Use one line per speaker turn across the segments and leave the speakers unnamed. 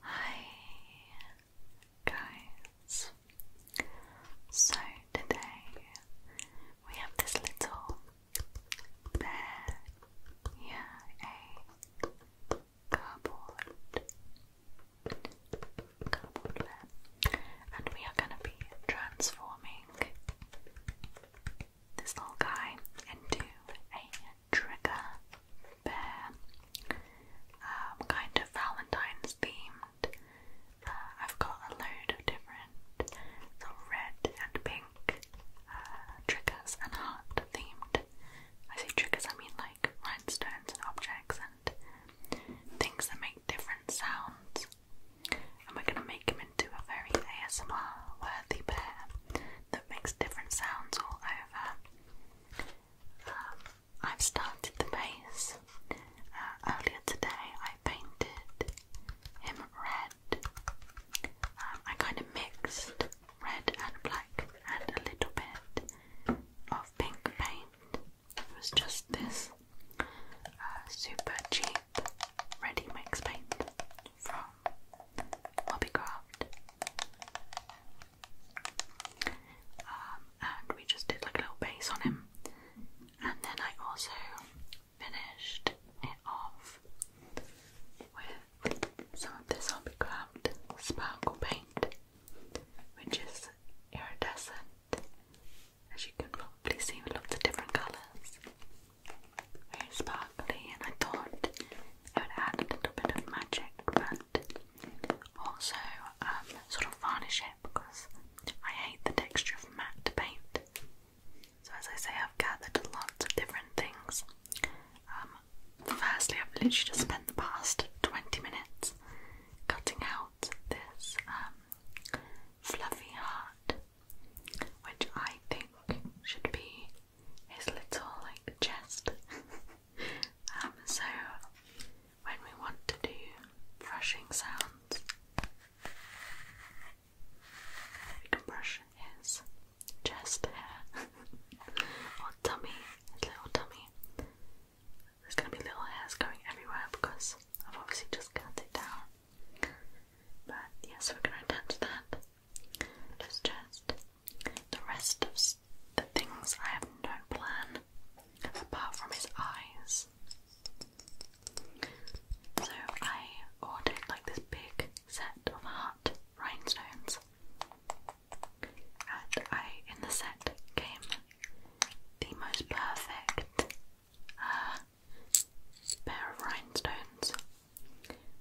Hi guys. So today we have this little bear here, a cardboard cardboard bear, and we are going to be transforming this little guy into a trigger bear, um, kind of Valentine's themed. Uh, I've got a load of different sort red and pink uh, triggers and heart themed. I say triggers, I mean like rhinestones and objects and things that make different sounds. And we're gonna make him into a very ASMR worthy bear that makes different sounds all over. Um, I've started the base. Uh, earlier today I painted him red. Um, I kind of mixed red and black and a little bit of pink paint. It was just this uh, super cheap ready mix paint from Hobbycraft. Um, and we just did like a little base on him. And then I also finished it off with some of this Hobbycraft sparkle paint, which is iridescent. As you can probably see, with lots of different colours. Very sparkly, and I thought it would add a little bit of magic, but also, um, sort of varnish it because I hate the texture of matte paint. So, as I say, I've gathered a lot of different things. Um, firstly, I've literally just spent the past 20 minutes cutting out this um, fluffy heart, which I think should be his little like chest. Um, so when we want to do brushing sounds, we can brush his chest hair or tummy, his little tummy. There's gonna be little hairs going everywhere because I've obviously just cut it down. But yes, we're gonna attach that. Just, just the rest of the things I have no plan apart from his eyes. So I ordered like this big set of heart rhinestones. And I in the set came the most perfect uh, pair of rhinestones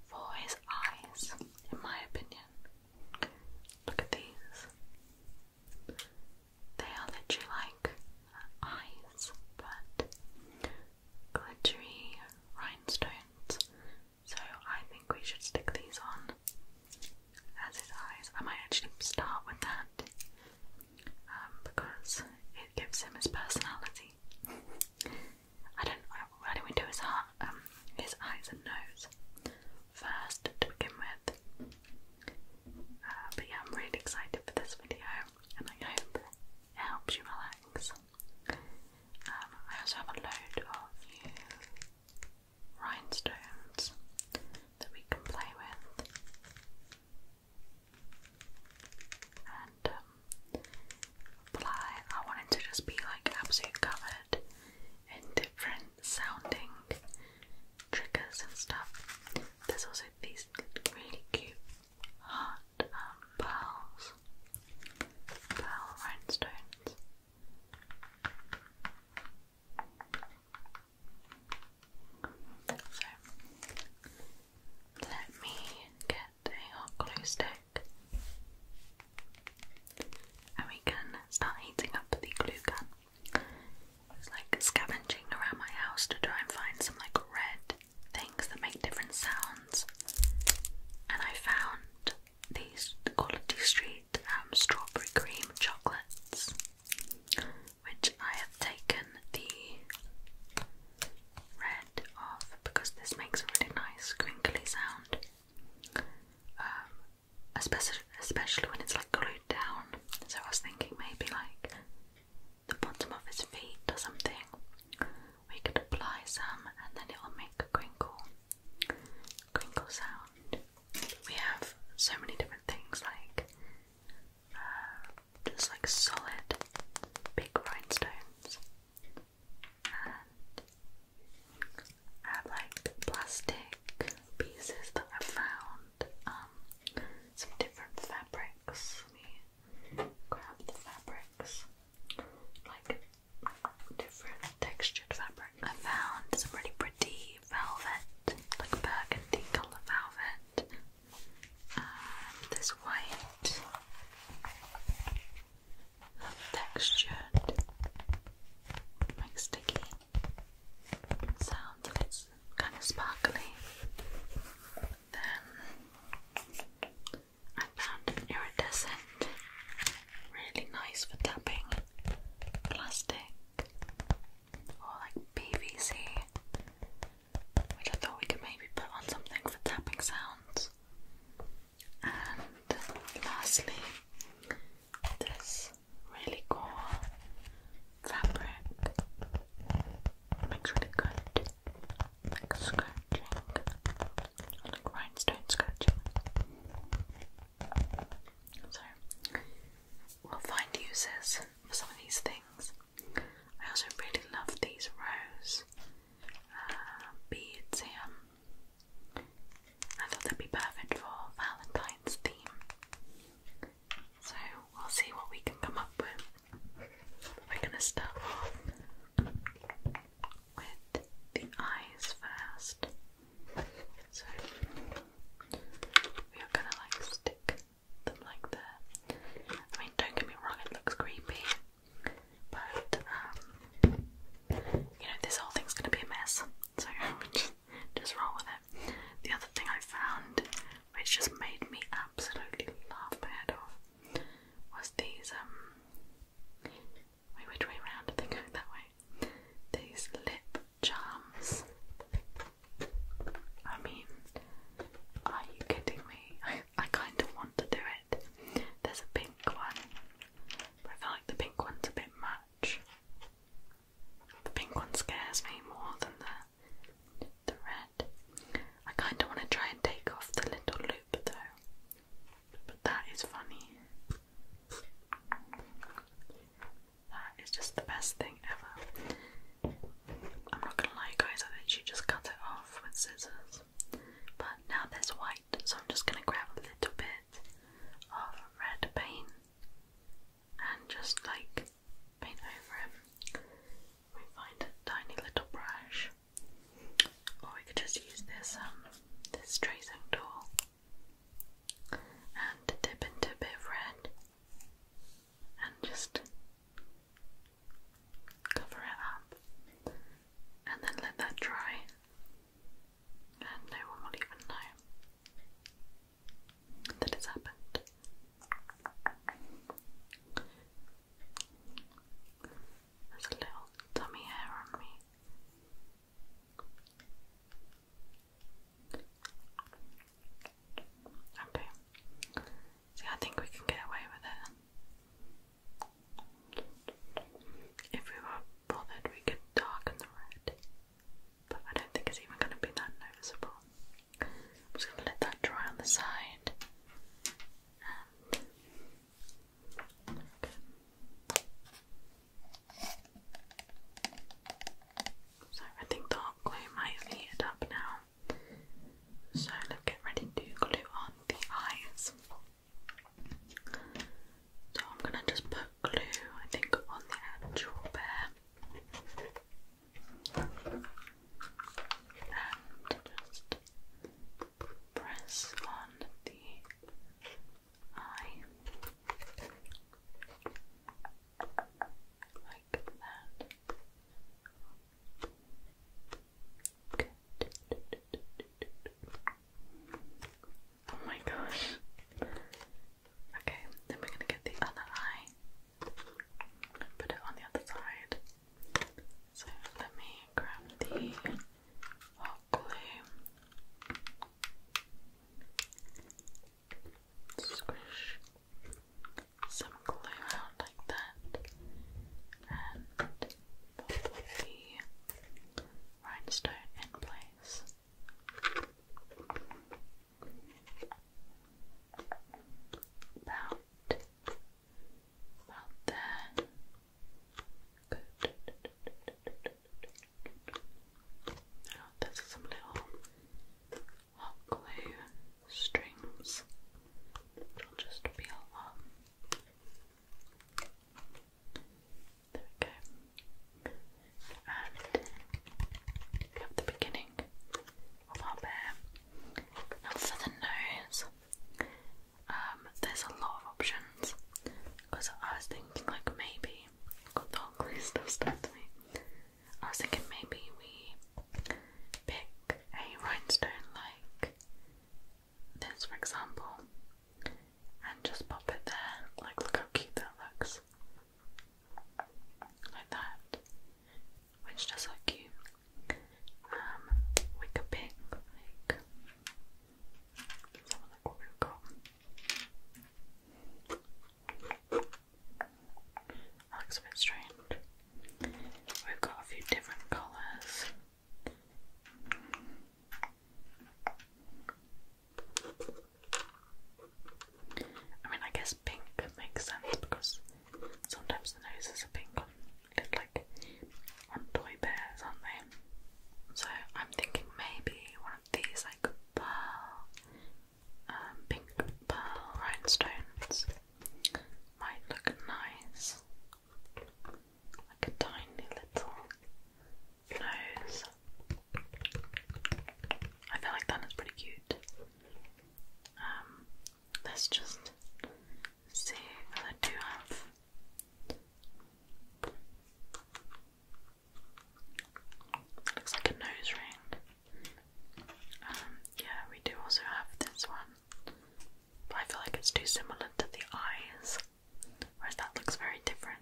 for his eyes, in my opinion. Look at these. They are literally like eyes, but glittery rhinestones. So I think we should stick these on as his eyes. I might actually start with that um, because it gives him his personality. I don't. Why don't we do his heart? Um, his eyes and nose first to begin with. Uh, but yeah, I'm really excited for this video and I hope it helps you relax. Um, I also have a load of new rhinestones that we can play with. And um, I wanted to just be like absolutely covered and different sounding triggers and stuff. There's also these really cute heart um, pearls, pearl rhinestones. So let me get a hot glue stick quick. And we can start heating up the glue gun. I was like scavenging around my house to try and find some like red things that make different sounds. And I found these Quality Street um, strawberry cream chocolates, which I have taken the red off because this makes a really nice crinkly sound. Um, especially when it's like glued down. So I was thinking maybe like the bottom of his feet or something. We could apply some, and then it'll make a crinkle, crinkle sound. We have so many different things like uh, just like solid big rhinestones and I like plastic pieces that I found, um, some different fabrics. Let me grab the fabrics, like different textured fabric. I found some really pretty velvet, like burgundy colour velvet. Um, this white of textured like sticky sound that it's kind of sparkly. Then I found iridescent, really nice for tapping plastic or like PVC, which I thought we could maybe put on something for tapping sounds. And lastly, this really cool fabric makes really good scratching, like rhinestone scratching. So we'll find uses for some of these things. I also really love these rose uh, beads here. I thought that'd be perfect for Valentine's theme. So we'll see what we can come up with. We're gonna start off with the eyes first. So we are gonna like stick them like that. I mean, don't get me wrong, it looks creepy, but um, you know, this whole thing's gonna be a mess, so just, roll with it. The other thing I found, which just made me absolutely laugh my head off, was these, um, wait, which way round? they going that way? These lip charms. I mean, are you kidding me? I kind of want to do it. There's a pink one, I feel like the pink one's a bit much. The pink one scares me more than the the red. I kind of want to try and take off the little loop though, but that is funny. That is just the best thing ever. I'm not gonna lie, guys. I literally just cut it off with scissors. But now there's white, so I'm just gonna grab a little bit of red paint and just like paint over it. We find a tiny little brush, or we could just use this um, this tracing tool and dip into a bit of red and just cover it up and then let that dry and no one will even know that it's happened. There's a little tummy hair on me. Okay. See, I think we can get away with it. If we were bothered we could darken the red, but I don't think it's even going to be that noticeable. I'm just going to let that dry on the side. So I think the glue might have up now. So let's get ready to glue on the eyes. So I'm gonna just put glue, I think, on the actual bear and just press on the eye like that. Good. Oh my gosh. Okay, then we're gonna get the other eye. Put it on the other side. So let me grab the hot glue. Squish some glue out like that and pop the rhinestone in place. About, about there. Now oh, this some little hot glue strings, which will just peel off. There we go. And we have the beginning of our bear. Now for the nose, um, there's a lot of options because I was thinking like maybe got the whole glue stuff I was thinking maybe we pick a rhinestone like this for example and just pop it there. Like, look how cute that looks. Like that. Which does look cute. Um, we let's have a look what we've got. looks a bit strange. We've got a few different colours. I mean, I guess pink makes sense because sometimes the noses are pink on like on toy bears, aren't they? So I'm thinking maybe one of these like pearl, um, pink pearl rhinestones might look nice, like a tiny little nose. I feel like that is pretty cute. Um, let's just see what I do have. looks like a nose ring. Um, yeah, we do also have this one. But I feel like it's too similar to the eyes. Whereas that looks very different.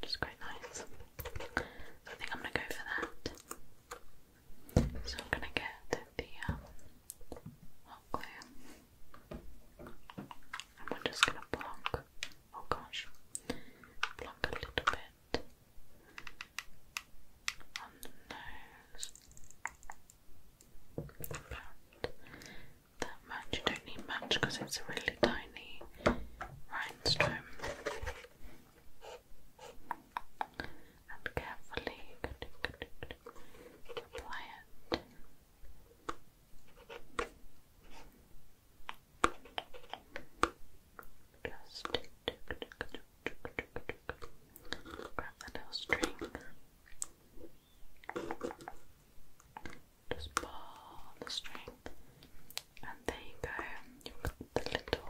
Which quite nice. So I think I'm gonna go for that. So I'm gonna get the um, hot glue. And we're just gonna plonk. Oh gosh. Plonk a little bit on the nose that much. You don't need much because it's a really tiny rhinestone. And carefully apply it. Just grab the little string. Just pull the string, and there you go. You've got the little,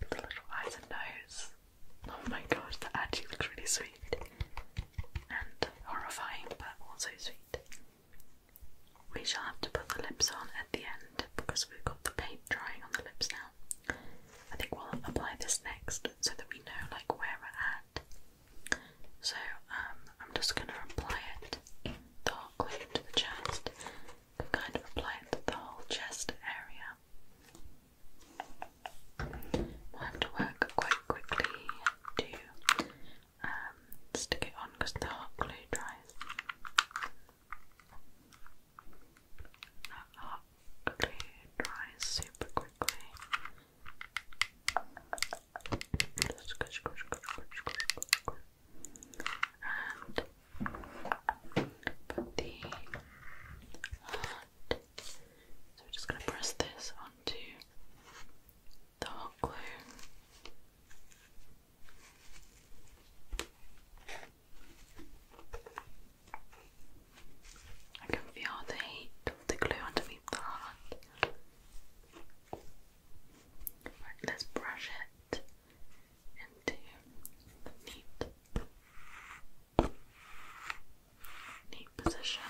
the little eyes and nose. Oh my gosh, the actually looks really sweet and horrifying, but also sweet. We shall have to put the lips on at the end because we've got the paint drying on the lips now. I think we'll apply this next so that we know like where we're at so um, I'm just going to apply it, hot glue to the chest, kind of apply it to the whole chest area. we have to work quite quickly to um, stick it on because the hot glue dries. hot glue dries super quickly. So we're just going to press this onto the hot glue. I can feel the heat of the glue underneath the heart let's brush it into neat, neat position.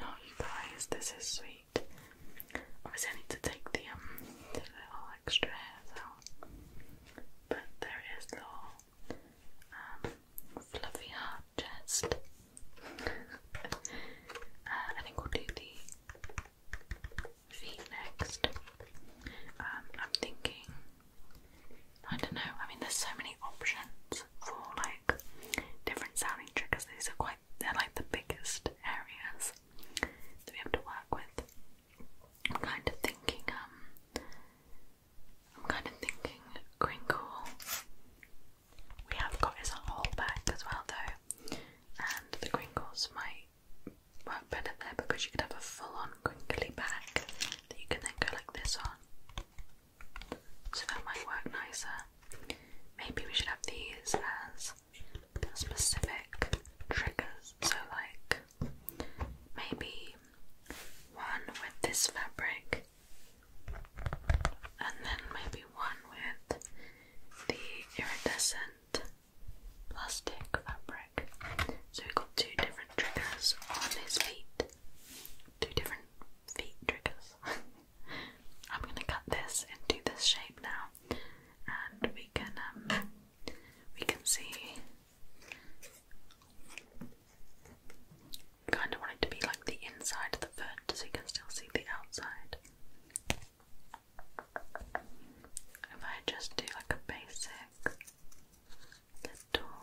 Oh, you guys, this is sweet. Obviously, I need to take the um, little extra hairs out, but there is little um, fluffy hard chest. I uh, think we'll do the feet next. Um, I'm thinking, I don't know, I mean, there's so many options for like different sounding triggers. These are quite, they're like the biggest areas that we have to work with. I'm kind of thinking, um, I'm kind of thinking crinkle. We have got his whole bag as well, though, and the crinkles might work better there because you could have a full-on crinkly bag that you can then go like this on. So that might work nicer. Maybe we should have these as specific triggers. So like maybe one with this fabric and then maybe one with the iridescent plastic fabric. So we got two different triggers on his feet. Two different feet triggers. I'm gonna cut this into this shape now and we can um, we can see Kind of want it to be like the inside of the foot so you can still see the outside. If I just do like a basic little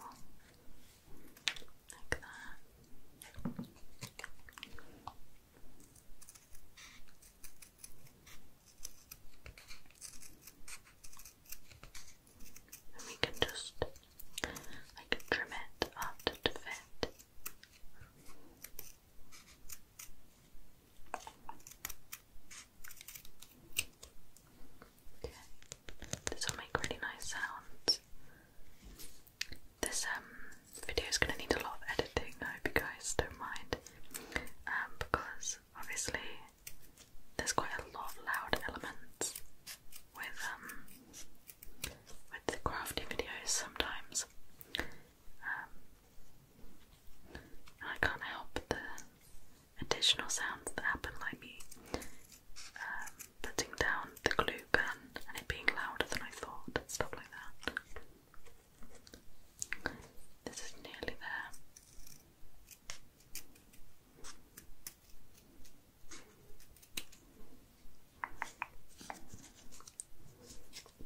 like that we can just like trim it up to fit. Okay. This will make really nice sounds. This um video is gonna need a lot of editing. I hope you guys don't mind. Um, because obviously there's quite a lot of loud elements with um with the crafty videos sometimes. Um, I can't help the additional sounds that happen, like me um, putting down the glue gun and it being louder than I thought, stuff like that. This is nearly there.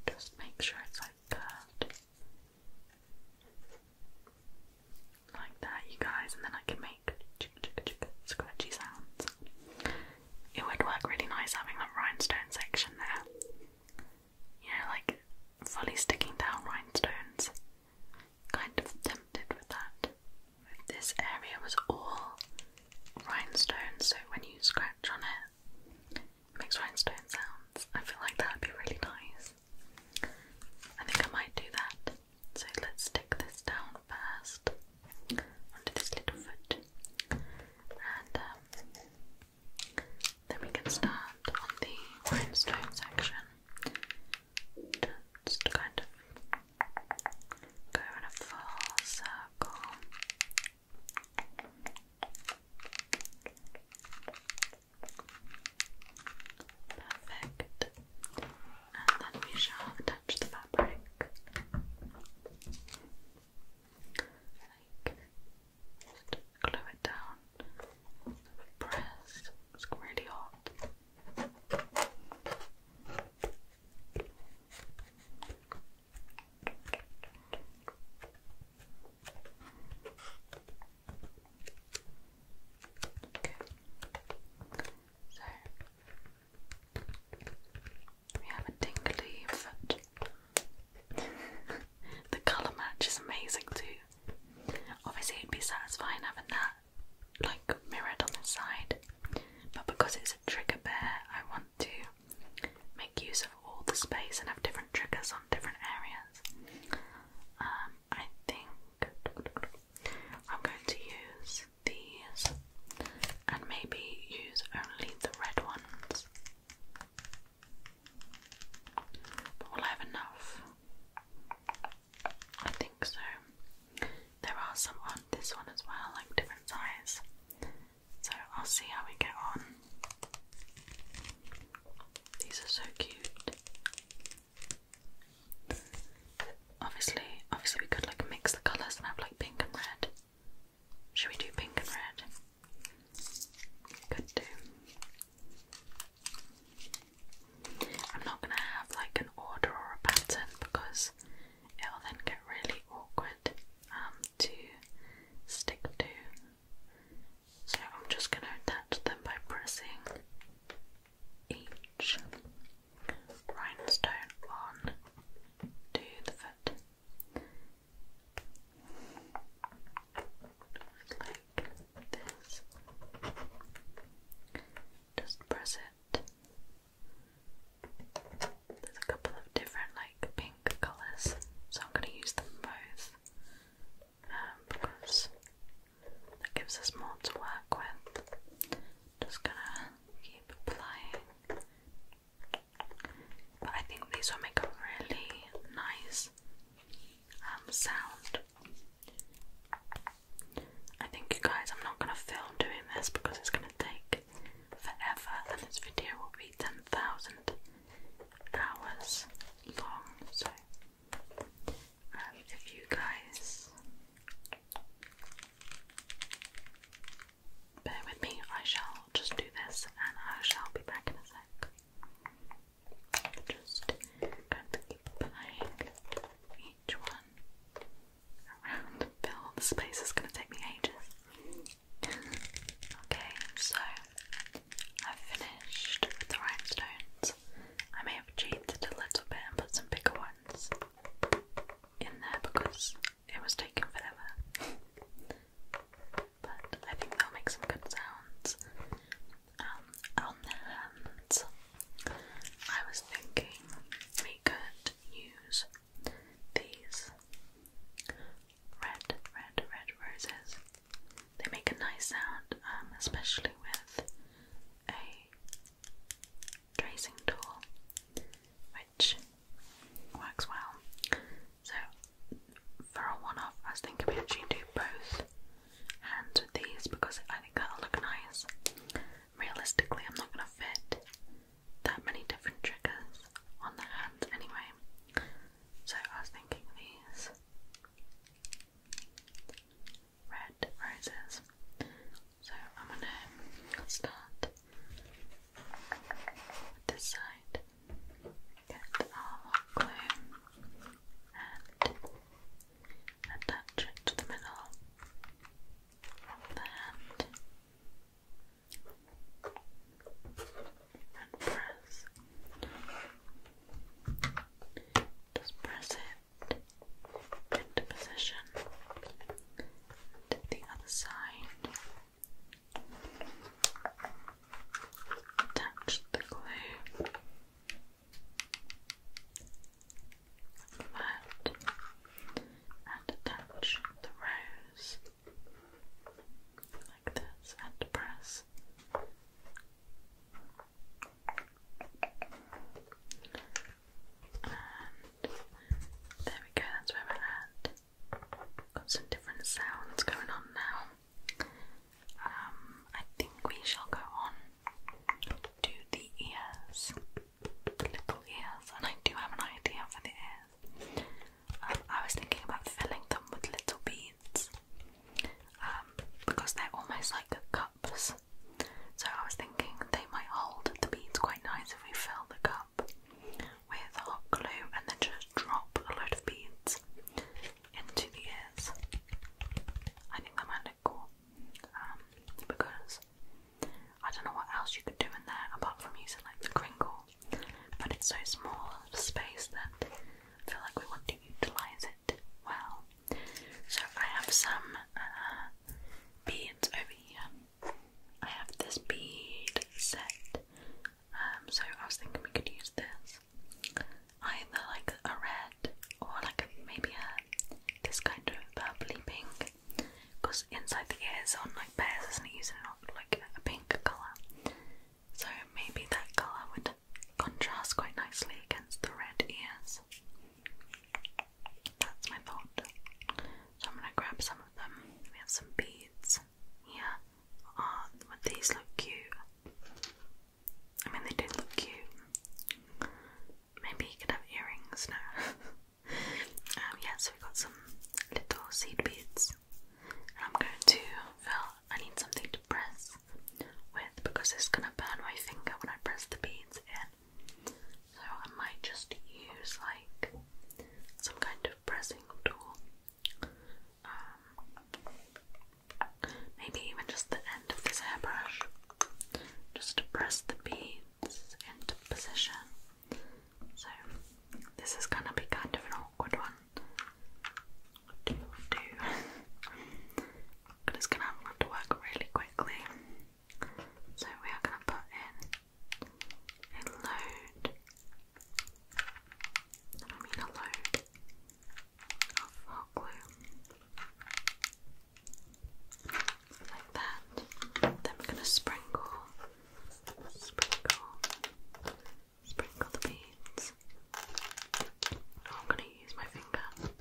Just make sure it's like curved. Like that, you guys, and then I can make scratchy sounds. It would work really nice having that rhinestone section there. You know, like fully sticking down rhinestones kind of tempted with that. This area was all rhinestones, so when you scratch on it, it makes rhinestone sounds. I feel like that would be really nice. I think I might do that. So let's stick this down first onto this little foot, and um, then we can start on the rhinestone section just kind of go in a full circle. Perfect. And then we shall attach the fabric like just glue it down pressed. It's really hot. So we have a tingly foot. the colour match is amazing too. Obviously, it'd be satisfying having that like mirrored on the side, but because it's a trigger bear, I want to make use of all the space and have different triggers on different areas. Um, I think I'm going to use these and maybe use only the red ones. But will I have enough? I think so. There are some on this one as well, like different size. So I'll see how we get on. These are so cute. Obviously, obviously we could like mix the colours and have like pink and red. Should we do pink and red? Could do. I'm not going to have like an order or a pattern because it'll then get really awkward um, to stick to. So I'm just going to attach them by pressing each rhinestone on the foot like this. Just press it. There's a couple of different like pink colours, so I'm going to use them both um, because that gives us more to work with. Just gonna keep applying. But I think these will make a really nice um, sound I think, you guys, I'm not going to film doing this because it's going to take forever and this video will be 10,000 hours long. So, um, if you guys bear with me, I shall just do this and I shall be back in a sec. Just kind of keep applying each one around the bill. The space is going to take me ages. okay, so I've finished the rhinestones. I may have cheated a little bit and put some bigger ones in there because it was taking forever. but I think they'll make some good sounds on um, the hands, I was thinking we could use these red, red, red roses. They make a nice sound, um, especially with a tracing tool, which works well. So, for a one off, I was thinking we actually do both hands with these because I think that'll look nice. Realistically, I'm not going to fit that many different triggers on the hands anyway, so I was thinking these red roses. So I'm going to start with this side, get our glue and attach it to the middle of the hand and press. Just press it into position. And the other side. Attach the glue flat and attach the rose like this and press. And there we go, that's where we're at. Got some different sounds going on now. Um, I think we shall go on to the ears, little ears, and I do have an idea for the ears. Um, I was thinking about filling them with little beads um, because they're almost like cups. So I was thinking they might hold the beads quite nice if we fill the cup with hot glue and then just drop a lot of beads into the ears. I think that might um, because I don't know what else you could do in there apart from using like the crinkle, but it's so small of space that I feel like we want to utilize it well. So I have some uh, beads over here. I have this bead set, um, so I was thinking we could use this either like a red or like maybe a this kind of purpley pink because inside the ears on like pears isn't it using like a pink colour so maybe that colour would contrast quite nicely against the red ears that's my thought so I'm gonna grab some of them we have some beads here oh, ah, would these look cute I mean, they do look cute. Maybe you could have earrings now. Um, yeah, so we've got some little seed beads, and I'm going to fill. Oh, I need something to press with because it's gonna burn my finger when I press the beads in. So I might just use like some kind of pressing tool. Um, maybe even just the end of this hairbrush, just to press the beads into position. So, this is gonna be kind of an awkward one to do. I'm gonna have to work really quickly. So, we are gonna put in a load. I mean, a load hot glue. Like that. Then we're going to sprinkle, sprinkle, sprinkle the beads. I'm going to use my finger.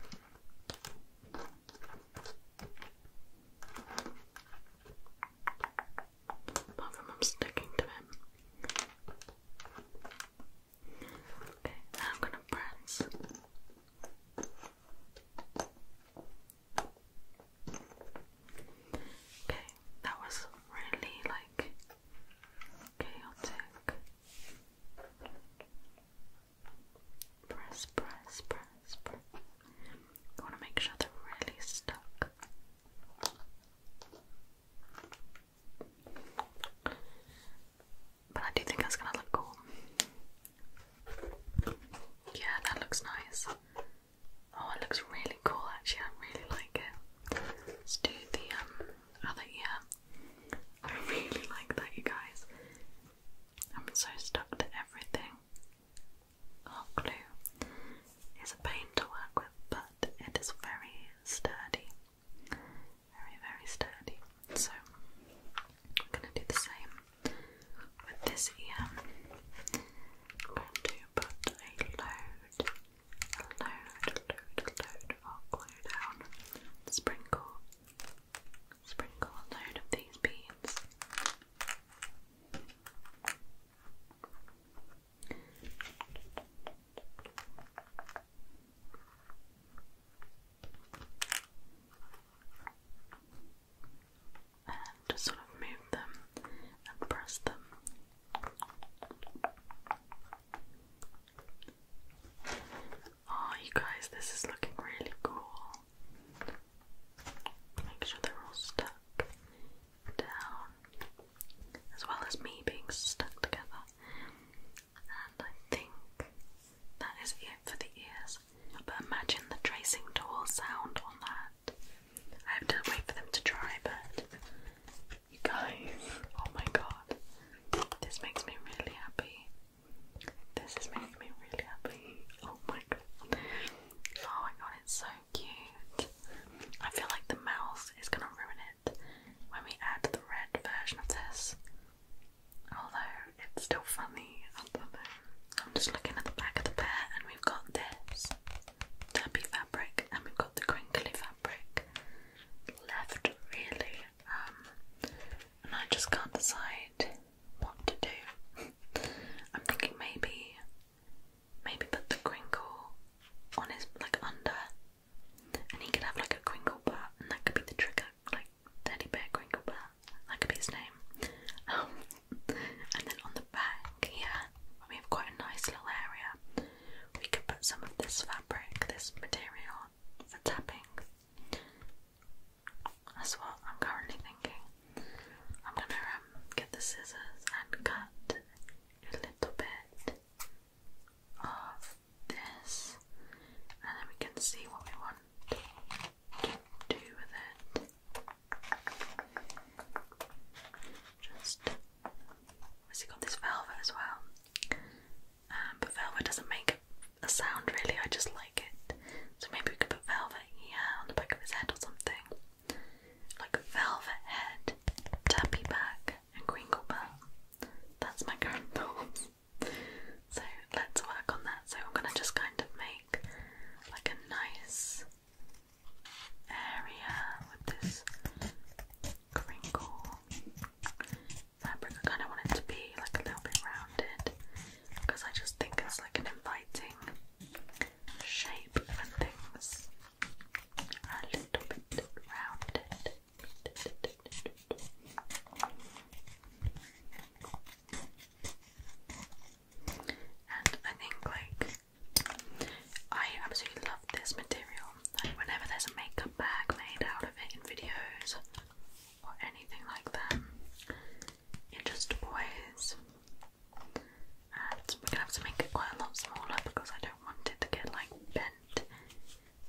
Apart I'm sticking to it. Okay, now I'm gonna press. Okay, that was really like chaotic. Press, press, press, press. I want to make sure they're really stuck. But I do think that's gonna look cool. Yeah, that looks nice. Oh, it looks really cool actually, I really like it. Let's do the um, other ear. I really like that, you guys. I'm so stuck to everything. Oh, glue is a pain to work with, but it is very sturdy very, very sturdy. So we're going to do the same with this ear. I'm going a load, a load, a load, load down. Sprinkle, sprinkle a load of these beads and just sort of move them and press them. Oh, you guys, this is looking really cool. Make sure they're all stuck down, as well as me being stuck together. And I think that is it for the ears. But imagine the tracing tool sound on that. I have to wait for them to dry, but you guys, oh my god, this makes me really happy. This is making me really happy. Oh my god. Oh my god, it's so cute. I feel like the mouth is gonna ruin it when we add the red version of this. Although it's still funny, I I'm just looking at the back of the pair, and we've got this tappy fabric, and we've got the crinkly fabric left, really. Um, and I just can't decide what to do. I'm thinking maybe, maybe put the crinkle on his like under and he could have like a crinkle bat, and that could be the trigger, like teddy bear crinkle bat. That could be his name. Um, and then on the back here, we have quite a nice little area. We could put some of this fabric, this material, for tapping. That's what I'm currently thinking. I'm gonna um, get the scissors and cut a little bit of this, and then we can see what we want to do with it. Just, obviously got this velvet as well, um, but velvet doesn't make a sound really. I just like it, so maybe we could put velvet here on the back of his head or something. Like a velvet head, tappy back, and crinkle bell. That's my current So let's work on that. So I'm gonna just kind of make like a nice area with this crinkle fabric. I kind of want it to be like a little bit rounded because I just think it's like an inviting shape and things are a little bit rounded. And I think like I absolutely love this material. Like whenever there's a makeup bag made out of it in videos or anything like that, it just always and we have to make it quite a lot smaller because I don't want it to get like bent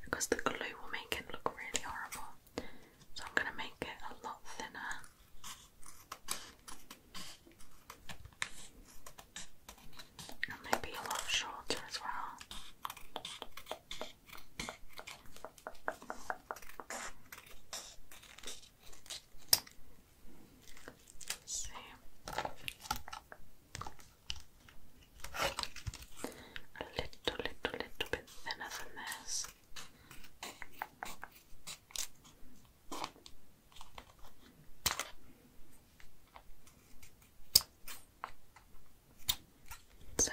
because the glue will make it look really horrible. So I'm going to make it a lot thinner. And maybe a lot shorter as well. see a little, little, little bit thinner than this. So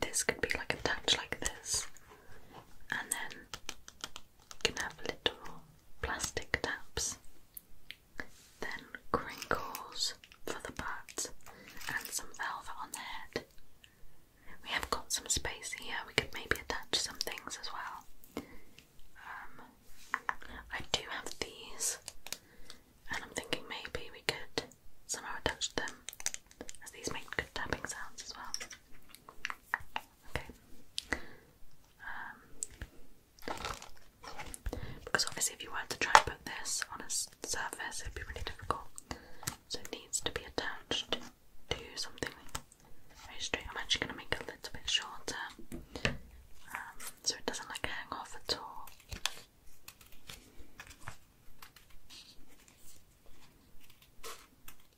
this could be like attached like this, and then can have little plastic taps, then crinkles, for the butt and some velvet on the head. We have got some space here, we could maybe attach some things as well. Um, I do have these, and I'm thinking maybe we could somehow attach them as these make good tapping sounds as well. Okay. Um, because obviously, if you were to try and put this on a surface, it would be really difficult. So it needs to be attached to something straight. I'm actually going to make a little bit shorter um, so it doesn't like hang off at all.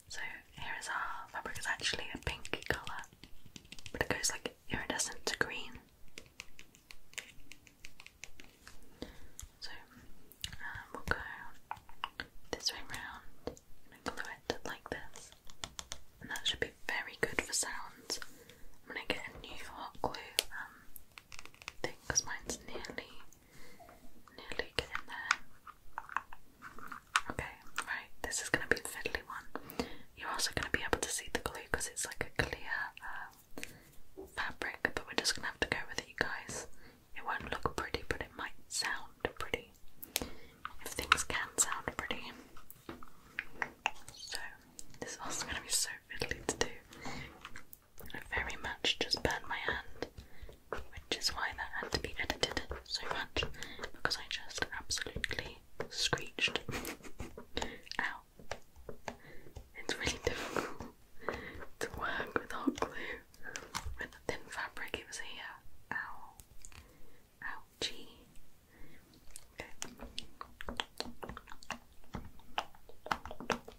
So here is our fabric, it's actually a pink colour, but it goes like iridescent to green. So um, we'll go this way round and glue it like this, and that should be very good for sounds. I'm gonna get a new hot glue um, thing because mine's nearly, nearly getting there. Okay, right. This is gonna be fiddly one. You're also gonna be able to see the glue because it's like a clear. Uh, fabric, but we're just gonna have to go with it, guys. It won't look pretty, but it might sound pretty. If things can sound pretty. So, this is also gonna be so fiddly to do. I very much just burned my hand, which is why that had to be edited so much because I just absolutely screeched. It's really difficult to work without glue. With the thin fabric, it was here. Ow. Ouchie.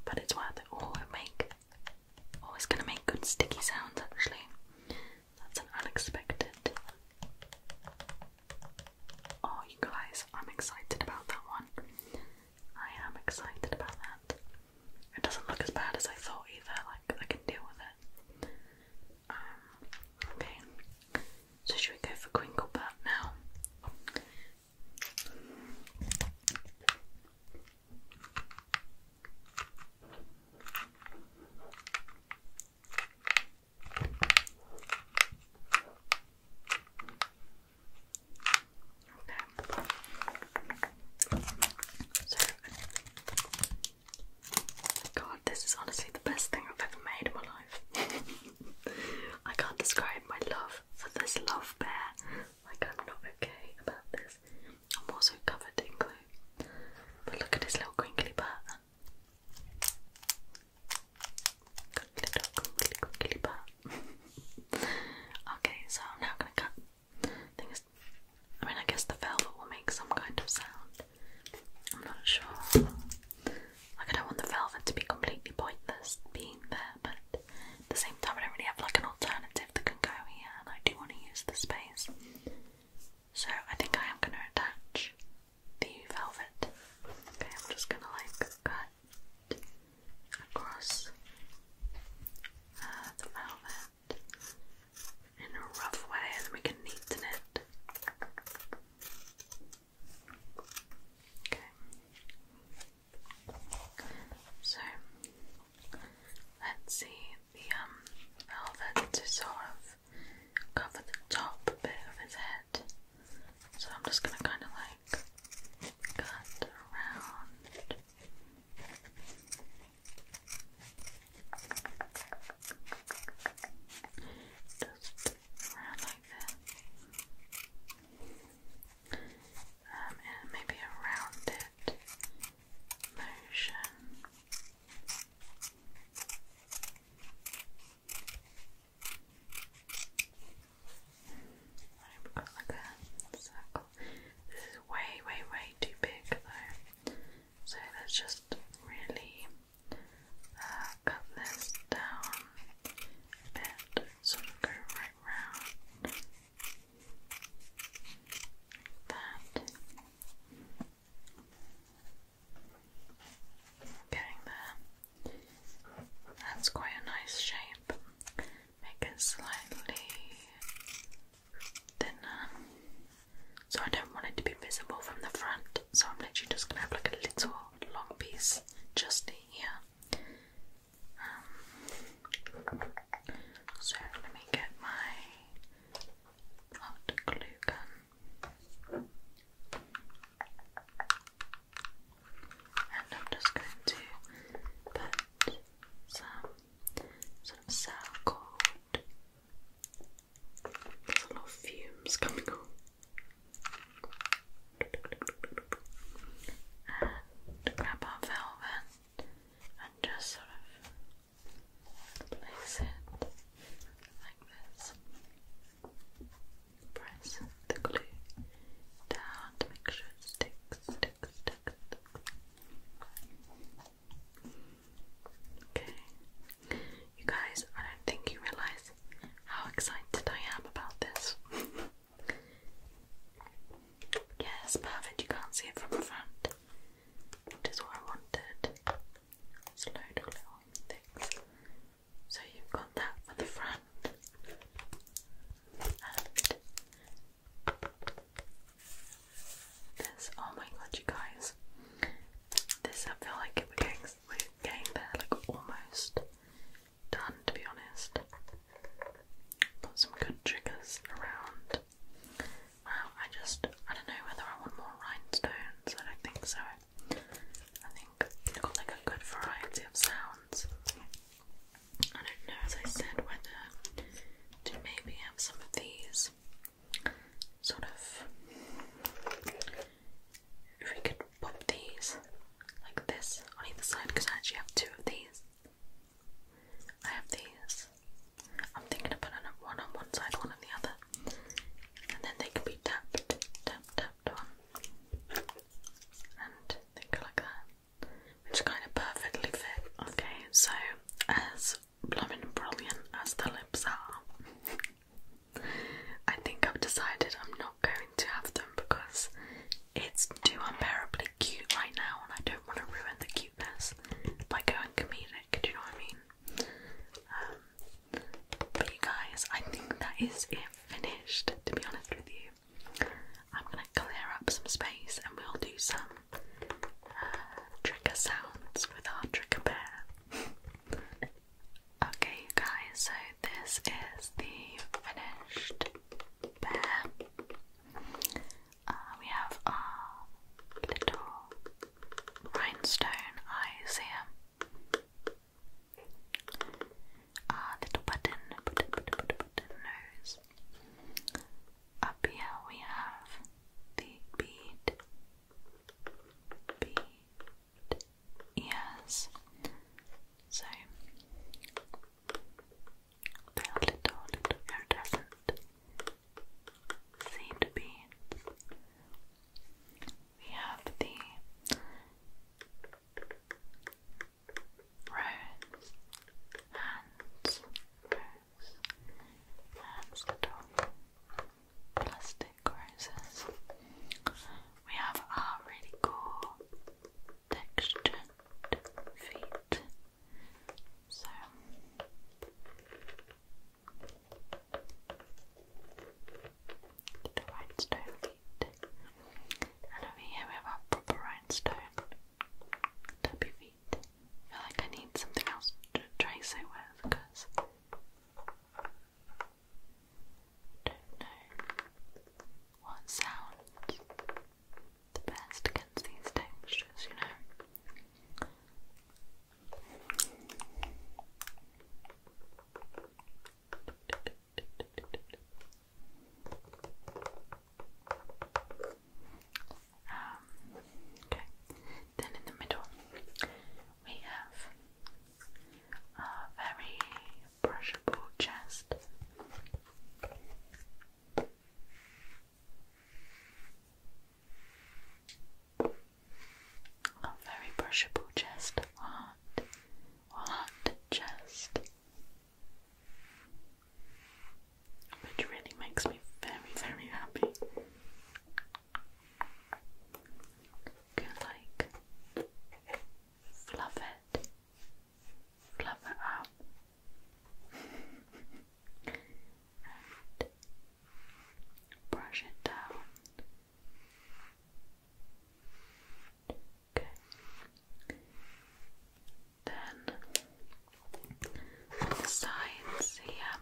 But it's worth it. Oh, it make. Oh, gonna make good sticky sounds actually. That's an unexpected. Oh, you guys, I'm excited about that one. I am excited about that. It doesn't look as bad as I thought either, like I can deal with it. Um, okay. So should we go for Crinklebutt now? Okay. So, God, this is honestly the best thing I've ever made in my life. I can't describe my love for this love bear. Like, I'm not okay about this. I'm also covered in glue. But look at his little crinkly pattern. okay, so I'm now gonna cut. Thing I mean, I guess the velvet will make some kind of sound. I'm not sure. Like, I don't want the velvet to be completely pointless being there, but at the same time, I don't really have like an alternative that can go here, and I do want to use the space. So I think I am gonna attach the velvet. Okay, I'm just gonna like cut across uh, the velvet in a rough way, and then we can neaten it. Okay. So let's see the um, velvet to sort of cover the top bit of his head. So I'm just gonna kind of like cut around. Just around like that. Um, and maybe a rounded motion. I've got like a circle. This is way, way, way too big though. So let's just really cut this down a bit so it'll go right round. Like Getting there. That's quite a nice shape. Make it slightly thinner. So I don't want it to be visible from the front. So I'm literally just gonna have like a little long piece just here. Um, so let me get my hot glue gun. And I'm just going to put some sort of cell cord. There's a lot of fumes coming on. And grab our velvet and just sort of place it like this press the glue down to make sure it sticks, Okay. You guys, I don't think you realise how excited I am about this. yes, perfect. You can't see it from the front. Which is what I wanted. Let's so you've got that for the front and this. Oh my god, you guys! This I feel like we're getting, we're getting there, like almost done. To be honest, got some good triggers around. I just I don't know whether I want more rhinestones. I think so. I think I've got like a good variety of sounds. I don't know, as I said, whether to maybe have some of these sort of. If we could pop these like this on either side, because I actually have two of these. I have these. I'm thinking of putting one on one side, one on the other, and then they can be tapped, tapped, tapped on and think like that, which kind of perfectly fit. Okay, so as blooming brilliant as the lips are, I think I've decided I'm not going to have them because it's too unbearably cute right now, and I don't want to ruin the cuteness by going comedic. Do you know what I mean? Um, but you guys, I think that is it finished. To be honest with you, I'm going to clear up some space and we'll do some uh, trigger sounds with our trigger bear. okay, you guys, so this is the finished bear. Uh, we have our little rhinestone eyes here. Ah, little button, button, button, nose. Up here we have the bead, bead ears. So they're little, little iridescent seed beads. We have the Rose, hands, rose, hands the dog, plastic roses. We have our really cool textured feet. So the rhinestone And over here we have our proper rhinestone tubby I feel like I need something else to trace it with don't know what sounds the best against these textures, you know. Um, okay, then in the middle we have a very brushable chest. A very brushable chest, heart, heart, chest which really makes me very, very happy. You like fluff it, fluff it up, and brush it down. Then on the sides here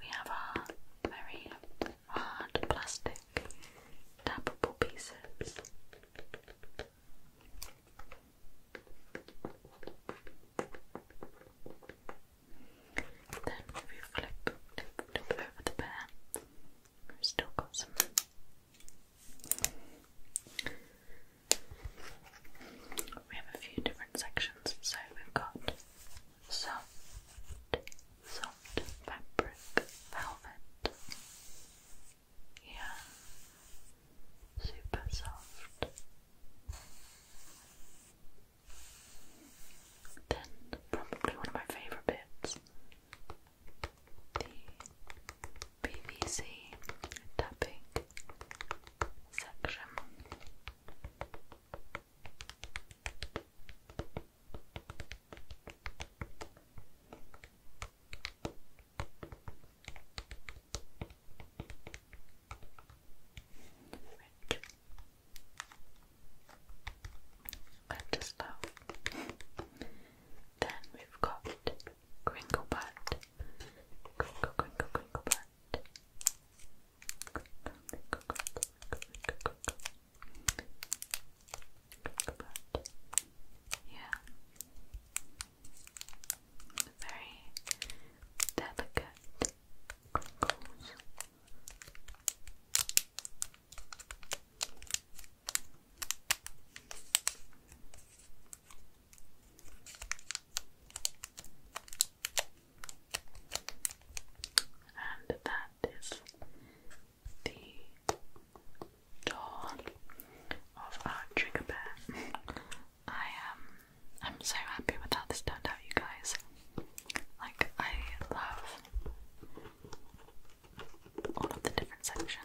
we have our very hard plastic tappable pieces. Then if flip over the bear, I've still got some. We have a few different sections, so we've got soft, soft fabric, velvet, yeah, super soft. Then, probably one of my favourite bits the PVC tapping section. I just love. Then we've got crinkle butt, crinkle, crinkle, crinkle butt, crinkle, crinkle, crinkle, crinkle, crinkle, crinkle butt. Yeah, very delicate crinkles. And that is the door of our trigger bear. I am um, I'm so happy with how this turned out you guys. Like I love all of the different sections.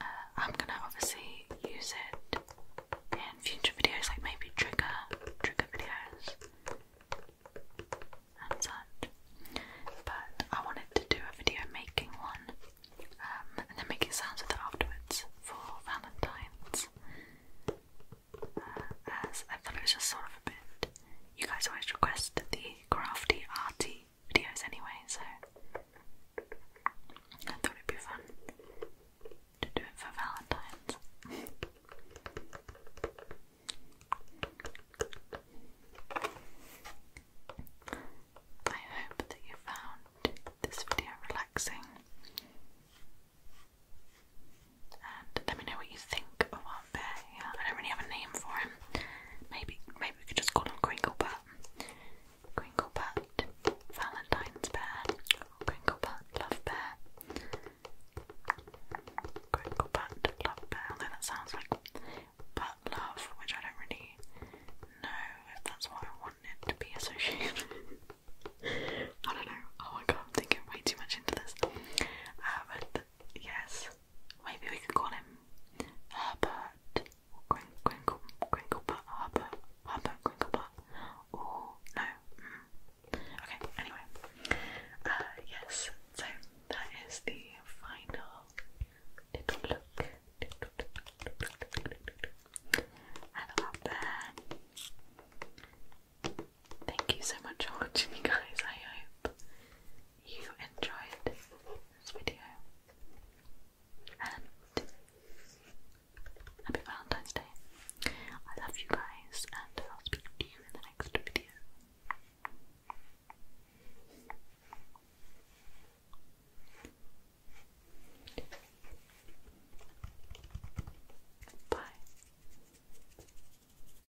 Uh, I'm gonna obviously use it in future videos, like maybe trigger, trigger videos and such. But I wanted to do a video making one um, and then making sounds with it afterwards for Valentine's. Uh, as I thought it was just sort of a bit you guys always request the crafty arty videos anyway, so I thought it'd be fun to do it for Valentine's. I hope that you found this video relaxing let me know what you think of our bear. I don't really have a name for him. Maybe, maybe we could just call him Crinklebutt. but Valentine's bear. Crinklebutt, love bear. Crinklebutt, love bear. Although that sounds like butt love, which I don't really know if that's what I want it to be associated. I don't know. Oh my god, I'm thinking way too much into this. Um, yes, Maybe we could call him Herbert or Grin Grinkle Grinklebutt Herbert Herbert Grinklebutt or no. Mm. Okay, anyway. Uh, yes, so that is the final little look. And up there. Thank you so much for watching, you guys. I hope you enjoyed this video. And happy Valentine's Day. I love you guys, and I'll speak to you in the next video. Bye.